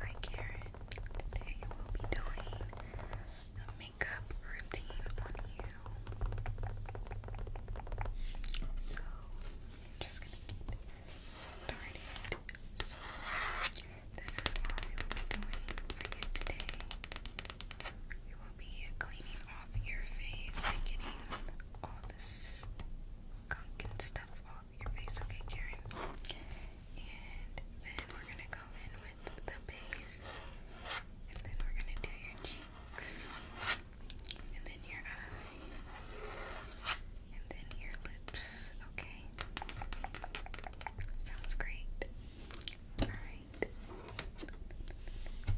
Hi Karen, today we'll be doing a makeup routine on you. So, I'm just gonna get started. So, this is what we will be doing for you today. We will be cleaning off your face getting all this gunk and stuff off your face, okay, Karen? And then we're gonna go in with the base, and then we're gonna do your cheeks, and then your eyes, and then your lips, okay? Sounds great. Alright.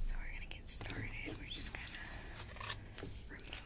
So we're gonna get started. We're just gonna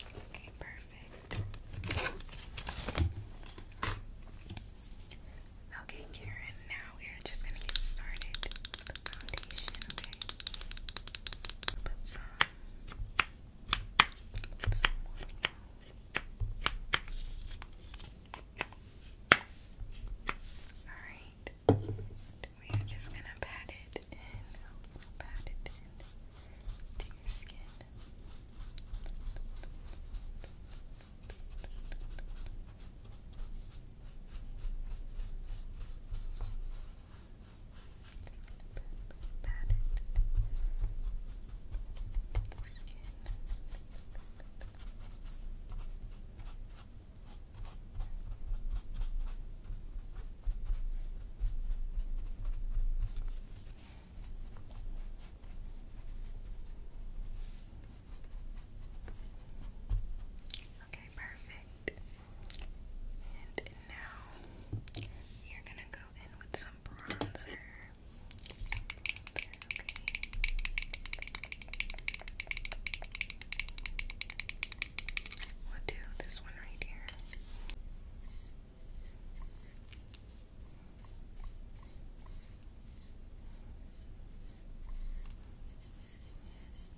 Okay, perfect. Okay, Karen, now we are just going to get started the foundation, okay? Put some, put some Alright. We are just gonna pat it in. pat it in to your skin pat it the skin Okay, perfect. And now you're gonna go in with some bronzer. bronzer do this one right here.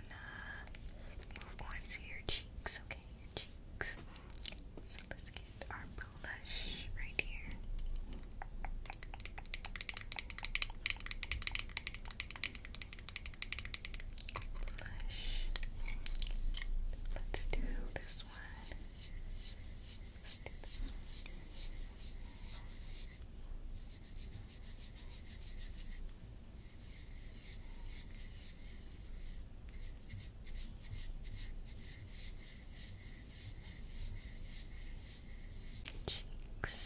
gonna uh, move on to your cheeks, okay? Your cheeks. So let's get our blush right here. Blush. Let's do this one. Let's do this one. Cheeks. Cheeks.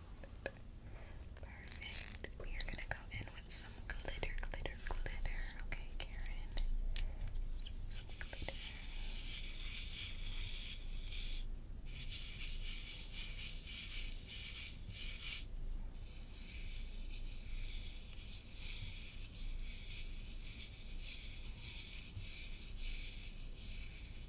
Perfect. We are gonna go in with some glitter, glitter, glitter. Okay, Karen.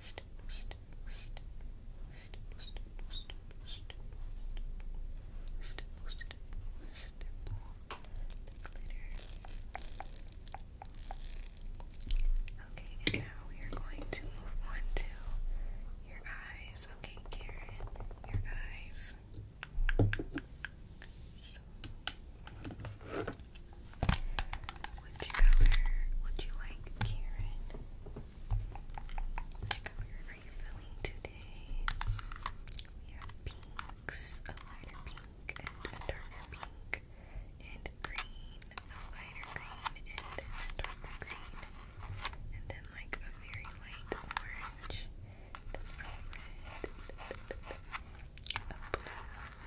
step, step, Okay, and now we are going to move on to your eyes. Okay, Karen, your eyes. Which color would you like, Karen? Which color are you feeling today? We have pinks, a lighter pink and a darker pink, and green, a lighter green and a darker green, and then like a very light orange, then red, a blue, and,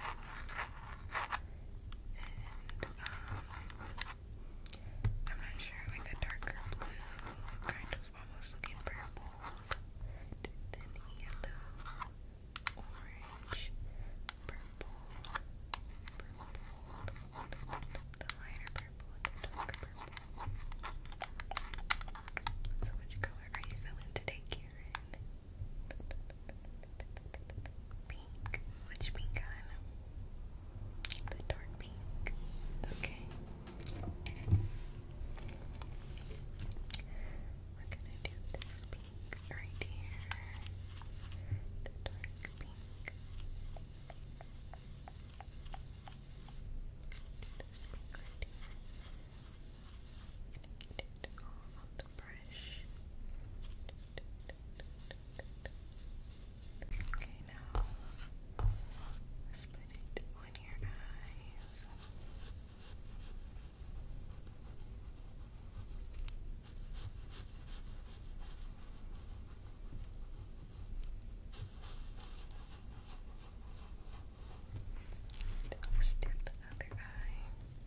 um, I'm not sure, like a darker kind of almost looking purple, then yellow, orange, purple, purple, the lighter purple, and the darker purple. So, which color are you feeling today, Karen? Pink. Which pink on? The dark pink. Okay. We're gonna do this pink right here. The dark pink. Get it Okay, now split it on your eyes. Let's do the other eye.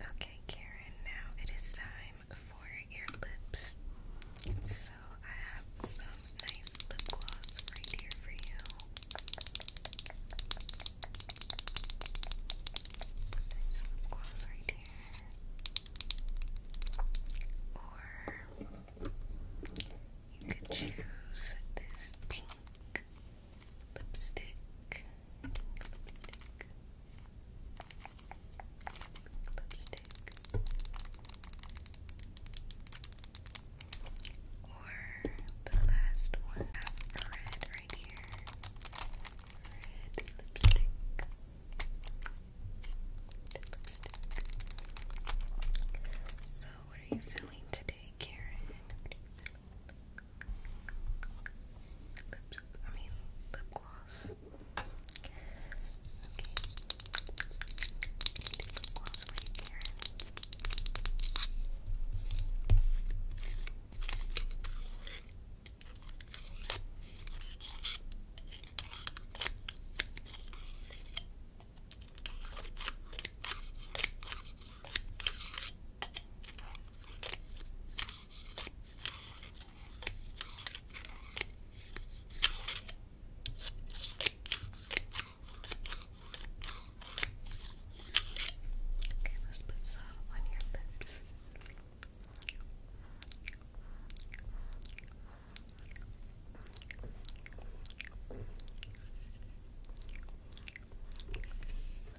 Okay, Karen, now it is time for your lips. So I have some nice lip gloss right here for you. Nice lip gloss right here. Or you could choose this pink lipstick, lipstick, lipstick, or the last one, red right here, red lipstick. So, what are you feeling today, Karen? lips, I mean lip gloss. you, Okay. Okay, let's put some on your lips.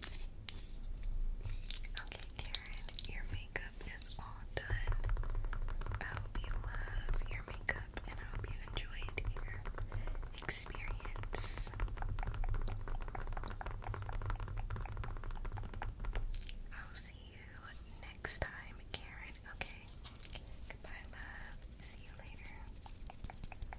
Okay, Karen, your makeup is all done. I hope you love your makeup and I hope you enjoyed your experience. I'll see you next time, Karen. Okay. Goodbye, love. See you later.